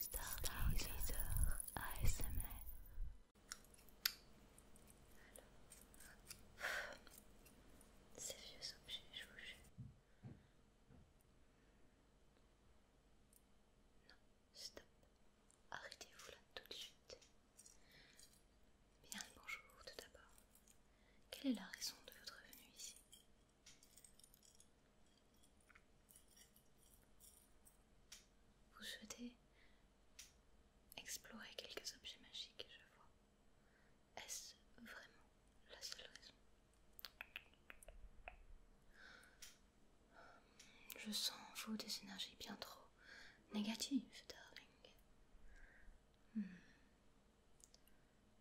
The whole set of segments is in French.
Stargazer ASMR. Alors, ces vieux objets, je vous jure. Non, stop. Arrêtez-vous là tout de suite. Bien bonjour tout d'abord. Quelle est la raison de votre venue ici vous souhaitez explorer quelques objets magiques, je vois. Est-ce vraiment la seule raison Je sens en vous des énergies bien trop négatives, darling. Hmm.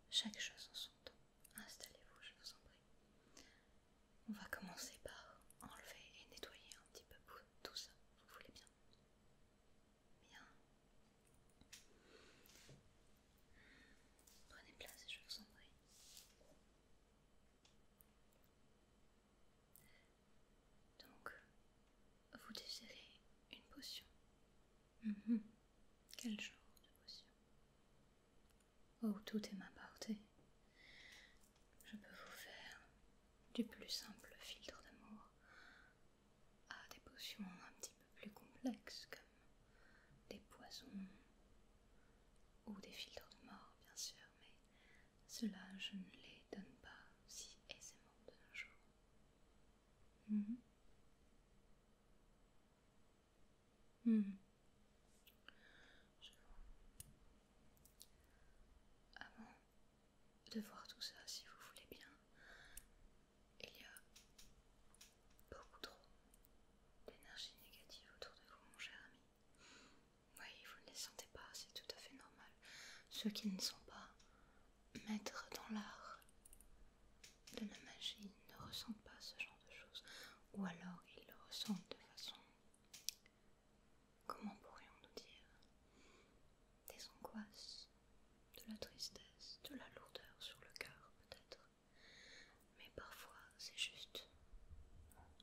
Chaque chose en son temps. Installez-vous, je vous en prie. On va commencer par enlever et nettoyer un petit peu tout ça, vous voulez bien Bien. Prenez place, je vous en prie. Donc, vous désirez une potion mm-hmm. Quel genre de potion Oh, tout est ma portée. Je peux vous faire du plus simple filtre d'amour à ah, des potions un petit peu plus complexes comme des poisons ou des filtres de mort, bien sûr, mais cela je ne les donne pas si aisément de nos jours. Mhm. Hmm. Avant de voir tout ça, si vous voulez bien, il y a beaucoup trop d'énergie négative autour de vous, mon cher ami. Oui, vous ne les sentez pas, c'est tout à fait normal. Ceux qui ne sont pas maîtres dans l'art de la magie ne ressentent pas ce genre de de choses, ou alors ils le ressentent de façon, comment pourrions-nous dire, des angoisses, de la tristesse, de la lourdeur sur le cœur peut-être, mais parfois c'est juste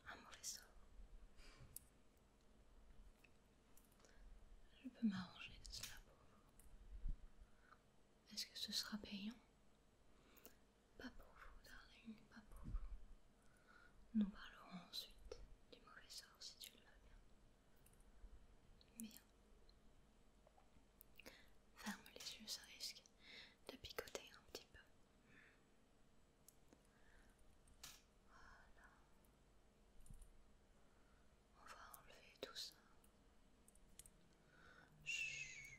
un mauvais sort. Je peux m'arranger de cela pour vous. Est-ce que ce sera payant pas pour vous, darling, pas pour vous. Nous parlerons ensuite du mauvais sort si tu le veux bien. Bien. Ferme les yeux, ça risque de picoter un petit peu. Voilà. On va enlever tout ça. Chut.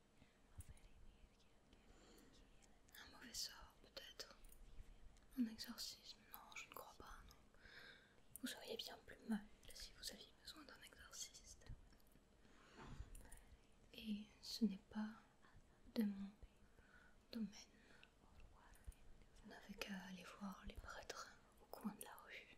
Un mauvais sort, peut-être. Un exorcisme, non, je ne crois pas, non. Vous seriez bien plus mal si vous aviez besoin d'un exorciste. Et ce n'est pas de mon domaine. Vous n'avez qu'à aller voir les prêtres au coin de la rue.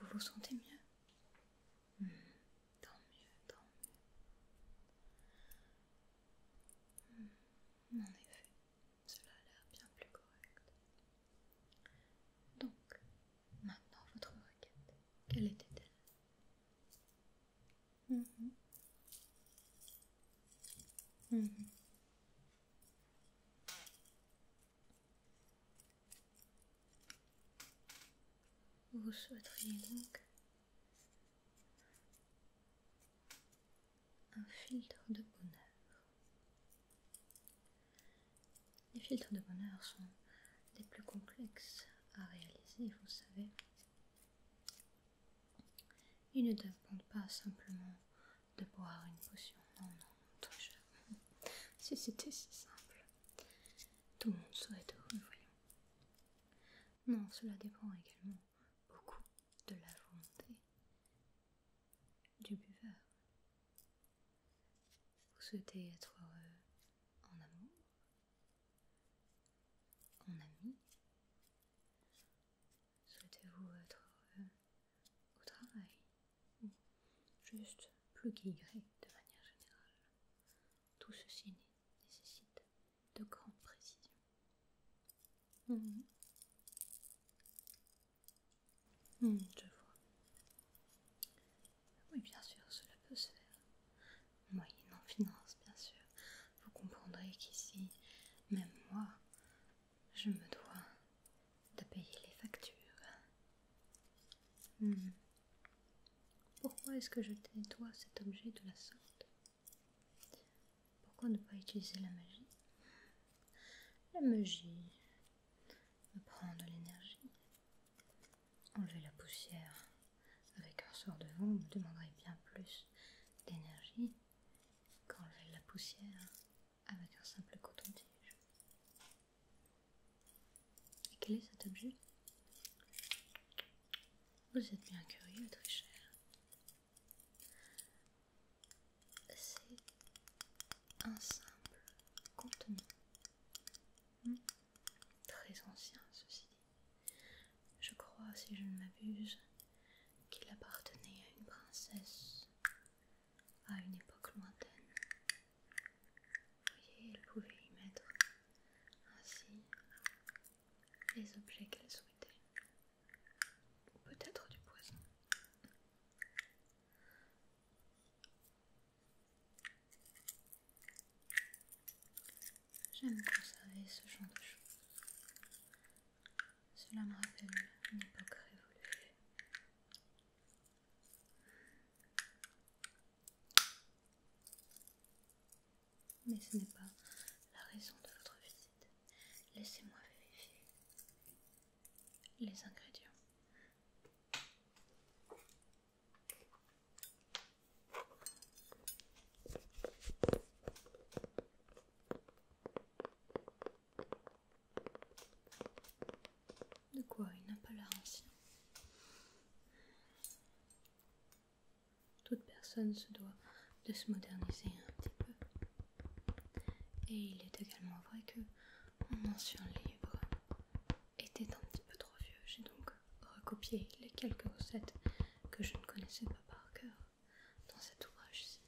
Vous vous sentez mieux hmm, Tant mieux, tant mieux. Hmm, en effet, cela a l'air bien plus correct. Donc, maintenant votre requête, quelle était-elle hmm, vous souhaiteriez donc un filtre de bonheur. Les filtres de bonheur sont les plus complexes à réaliser, vous savez. Ils ne dépendent pas simplement de boire une potion, non, non. Si c'était si simple, tout le monde serait heureux, voyons. Non, cela dépend également beaucoup de la volonté du buveur. Vous souhaitez être heureux en amour, en ami Souhaitez-vous être heureux au travail juste plus qu'Y de manière générale. Tout ceci nécessite de grandes précisions. Mhm. Mhm, je vois. Oui, bien sûr, cela peut se faire. Moyennant finance, bien sûr. Vous comprendrez qu'ici, même moi, je me dois de payer les factures. Hmm. Pourquoi est-ce que je nettoie cet objet de la sorte Pourquoi ne pas utiliser la magie La magie me prend de l'énergie. Enlever la poussière avec un sort de vent me demanderait bien plus d'énergie qu'enlever la poussière avec un simple coton-tige. Et quel est cet objet Vous êtes bien curieux, très cher. C'est un simple contenu, hmm très ancien, ceci dit. Je crois, si je ne m'abuse, qu'il appartenait à une princesse à une époque lointaine. Vous voyez, elle pouvait y mettre ainsi les objets qu'elle souhaitait. Peut-être du poison. J'aime conserver ce genre de choses. Cela me rappelle une époque révolue. Mais ce n'est pas la raison de votre visite. Laissez-moi vérifier les ingrédients. De quoi Il n'a pas l'air ancien. Toute personne se doit de se moderniser un petit peu. Et il est également vrai que mon ancien livre était un petit peu trop vieux. J'ai donc recopié les quelques recettes que je ne connaissais pas par cœur dans cet ouvrage-ci.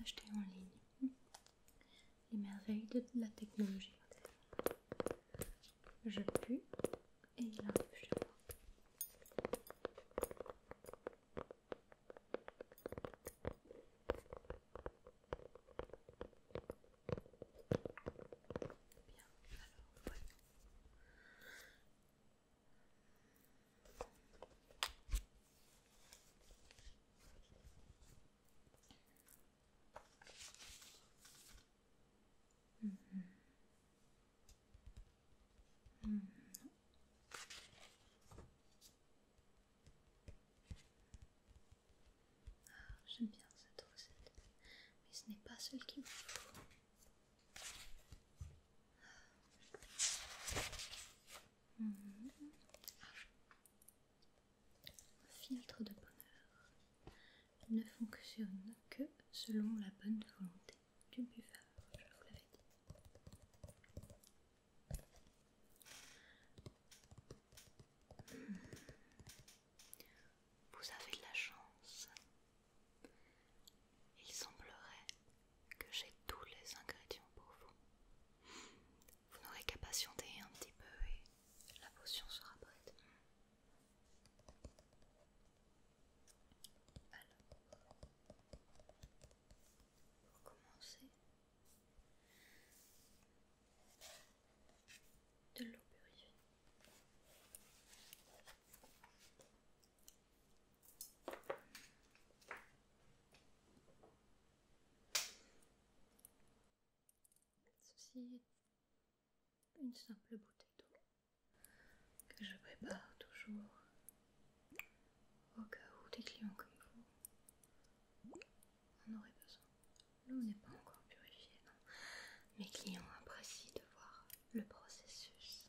Acheter en ligne les merveilles de la technologie. Je pue et il je chez Bien, alors Mm-hmm. Ah, J'aime bien cette recette, mais ce n'est pas celle qu'il me faut. Mhm. filtre de bonheur ne fonctionne que selon la bonne volonté du buveur, je vous l'avais dit. Hmm. Vous avez de la chance il semblerait que j'ai tous les ingrédients pour vous. Vous n'aurez qu'à patienter un petit peu et la potion sera prête. Alors, pour commencer, de l'eau purifiée. Ceci est une simple bouteille d'eau que je prépare toujours au cas où des clients comme vous en auraient besoin. L'eau n'est pas encore purifiée, non. Mes clients apprécient de voir le processus.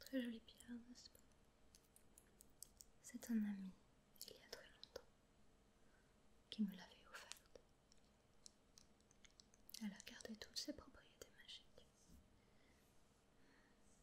Très jolie pierre, n'est-ce pas C'est un ami, il y a très longtemps, qui me l'avait offerte. Elle a gardé toutes ses propriétés magiques.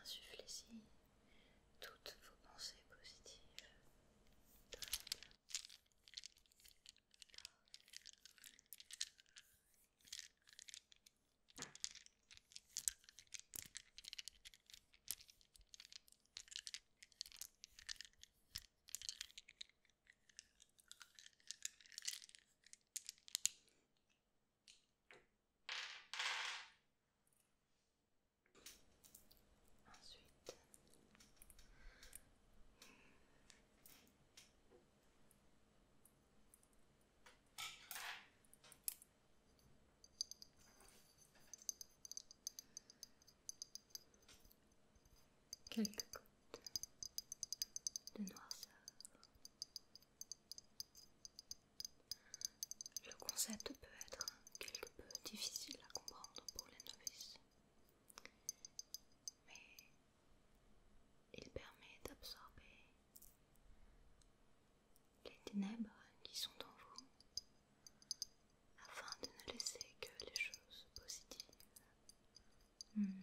Insufflez-y toutes vos pensées positives. Ensuite, quelques gouttes de noirceur. Le concept peut être quelque peu difficile à comprendre pour les novices, mais il permet d'absorber les ténèbres qui sont en vous afin de ne laisser que les choses positives. Hmm.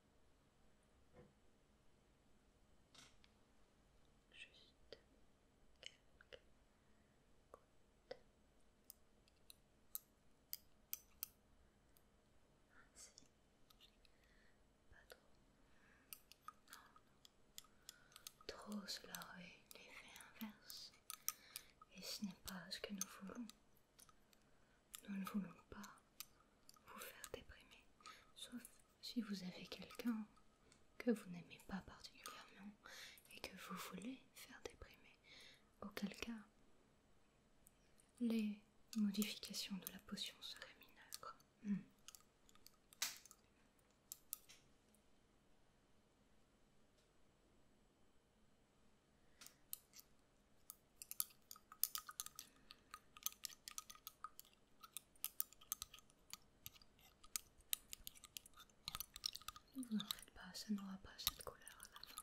Juste quelques gouttes. Ainsi. Pas trop. Non, Trop cela aurait l'effet inverse. Et ce n'est pas ce que nous voulons. Nous ne voulons pas vous faire déprimer, sauf si vous avez quelqu'un que vous n'aimez pas particulièrement et que vous voulez faire déprimer, auquel cas les modifications de la potion seraient mineures. Hmm. Ne vous en faites pas, ça n'aura pas cette couleur à la fin.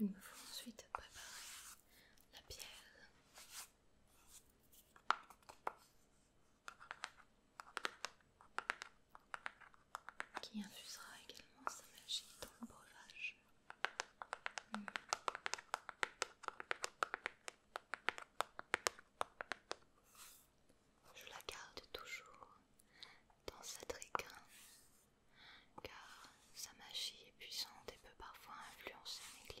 Il me faut ensuite préparer la pierre. Qui infusera également sa magie dans le breuvage. Je la garde toujours dans sa triquin car sa magie est puissante et peut parfois influencer mes clients.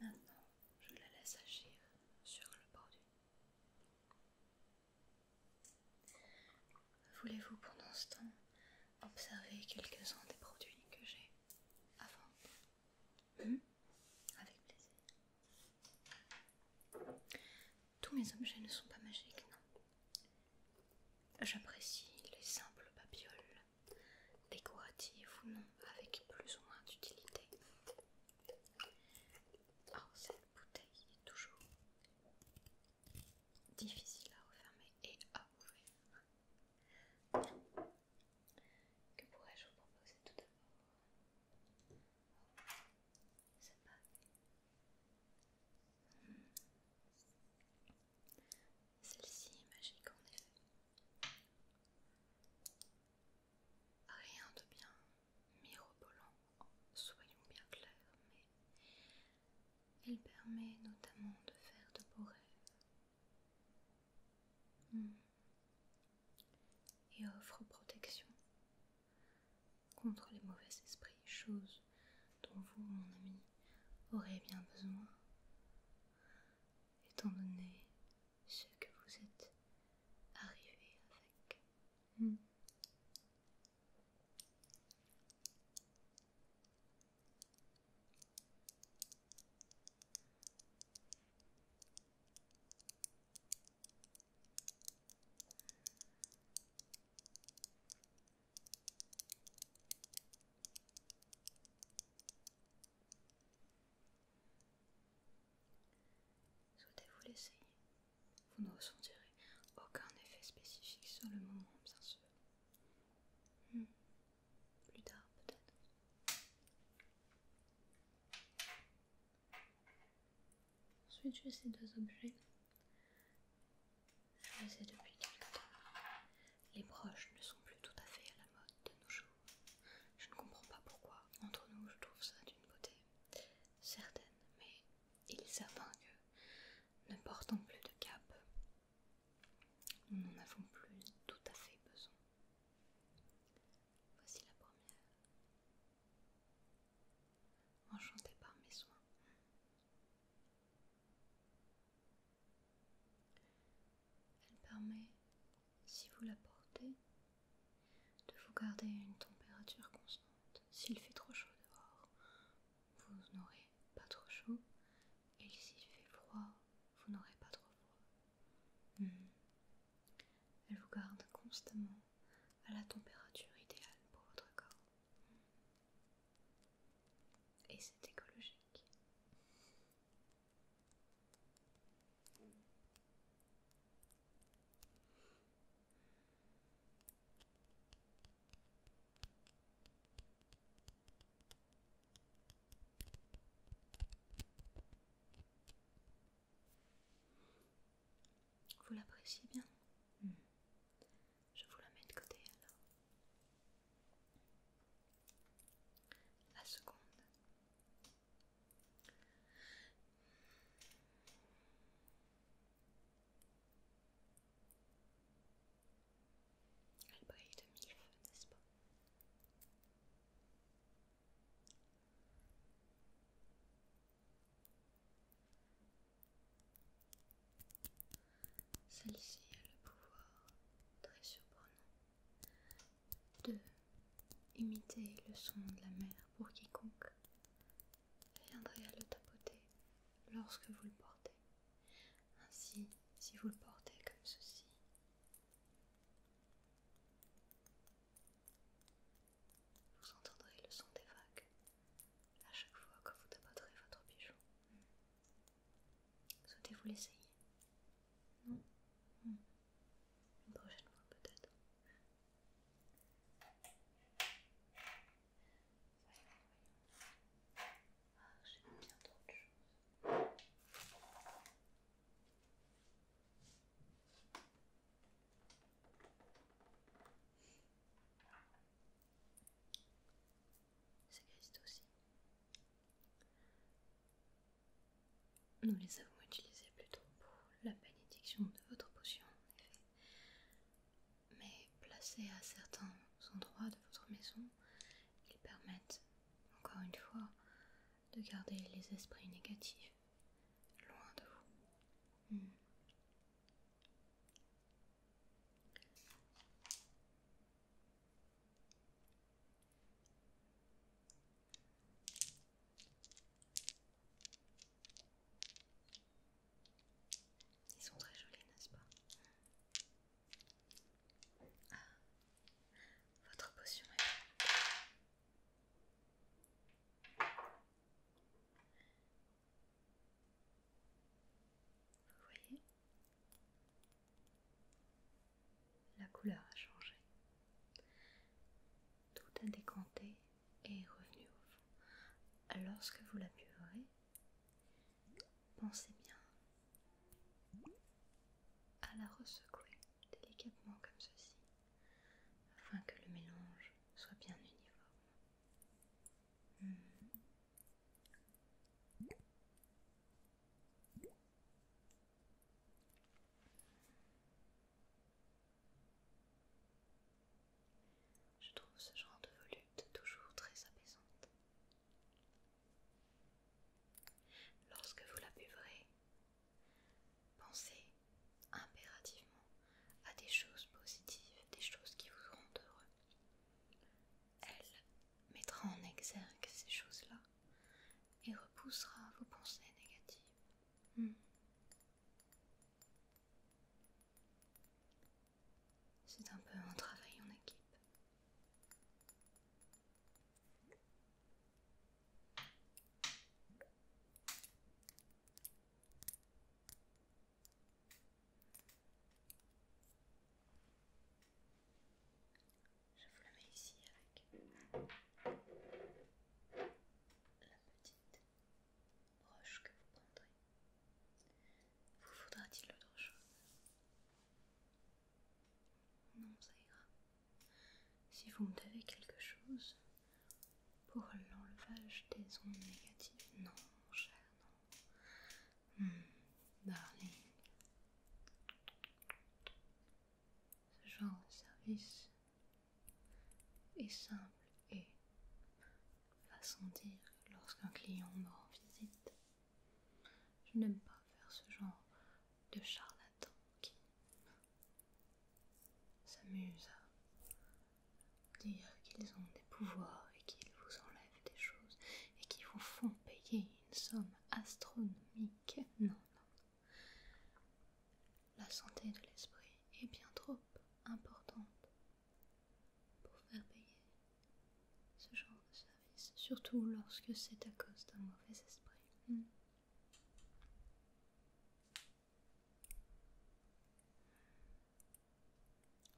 Maintenant, je la laisse agir sur le bordu. Voulez-vous pendant ce temps observer quelques-uns des produits que j'ai à vendre hmm? Avec plaisir. Tous mes objets ne sont pas magiques, non. J'apprécie les simples babioles, décoratives ou non, avec plus ou moins d'utilité. Oh, la bouteille est toujours difficile à refermer et à ouvrir. Que pourrais-je vous proposer tout d'abord C'est pas... Hmm. Celle-ci est magique en effet. Rien de bien mirobolant, soyons bien clairs, mais elle permet notamment de faire de beaux rêves hmm. et offre protection contre les mauvais esprits, chose dont vous, mon ami, aurez bien besoin, étant donné ce que vous êtes arrivé avec. Hmm. Souhaitez-vous l'essayer vous ne ressentirez aucun effet spécifique sur le moment, bien sûr. Hmm. Plus tard, peut-être. Ensuite, j'ai ces deux objets. Je les ai depuis temps. Les broches ne sont plus tout à fait à la mode de nos jours. Je ne comprends pas pourquoi. Entre nous, je trouve ça d'une beauté certaine, mais et savent que, ne portant plus de cape. Nous n'en avons plus tout à fait besoin. Voici la première. Enchantée par mes soins. Elle permet, si vous la portez, de vous garder à une température constante s'il fait trop chaud dehors, vous n'aurez pas trop chaud, et s'il fait froid, vous n'aurez pas trop froid. Hmm. Elle vous garde constamment à la température idéale pour votre corps. Et c'est écologique. Vous l'appréciez bien hmm. Je vous la mets de côté alors. La seconde. Elle brille de mille feux, n'est-ce pas Celle-ci a le pouvoir très surprenant de imiter le son de la mer pour quiconque viendrez à le tapoter lorsque vous le portez. Ainsi, si vous le portez comme ceci, vous entendrez le son des vagues à chaque fois que vous tapoterez votre bijou. Souhaitez-vous l'essayer Non hmm. Une prochaine fois peut-être ah, j'aime bien trop de choses. C'est Christ aussi. Nous les avons utilisés plutôt pour la bénédiction de votre potion, en effet mais placés à certains endroits de votre maison, ils permettent, encore une fois, de garder les esprits négatifs loin de vous. Hmm. Ils sont très jolis, n'est-ce pas ah, Votre potion est Vous voyez La couleur a changé. Tout a décanté et est revenu au fond. Lorsque vous la buverez, Pensez bien à la ressecouer délicatement comme ceci, afin que le mélange soit bien uniforme. Hmm. Je trouve ce genre de volute toujours très apaisante. Lorsque vous la buverez, pensez impérativement à des choses positives, des choses qui vous rendent heureux. Elle mettra en exergue ces choses-là et repoussera vos pensées négatives. Hmm. C'est un peu un travail en équipe. Je vous le mets ici avec la petite Proche que vous prendrez. Vous faudra-t-il autre chose Non, ça ira. Si vous me devez quelque chose pour l'enlevage des ondes négatives, non, mon cher, non. Hmm, darling. Ce genre de service est simple et façon dire lorsqu'un client me rend visite. Je n'aime pas faire ce genre de charlatan qui s'amuse à dire qu'ils ont des pouvoirs et qu'ils vous enlèvent des choses et qu'ils vous font payer une somme astronomique. Non, non. La santé de l'esprit est bien trop importante pour faire payer ce genre de service, surtout lorsque c'est à cause d'un mauvais esprit. Hmm.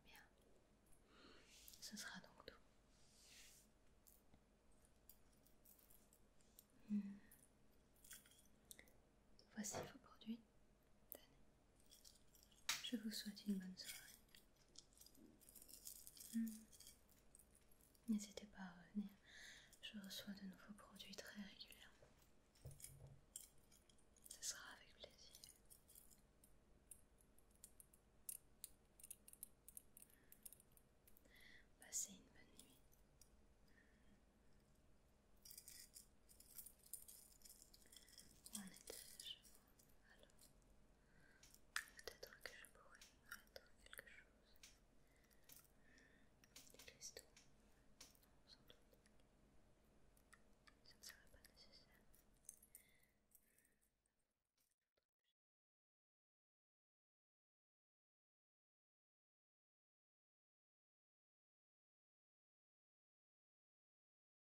Bien, ce sera donc tout. Hmm. Voici vos produits. Je vous souhaite une bonne soirée. Hmm. N'hésitez pas à revenir. Je reçois de nouveaux produits très régulièrement. Ce sera avec plaisir. Passez une bonne nuit. Alors, peut-être que je pourrais attendre quelque chose. Des cristaux Non, sans doute. Ça ne serait pas nécessaire.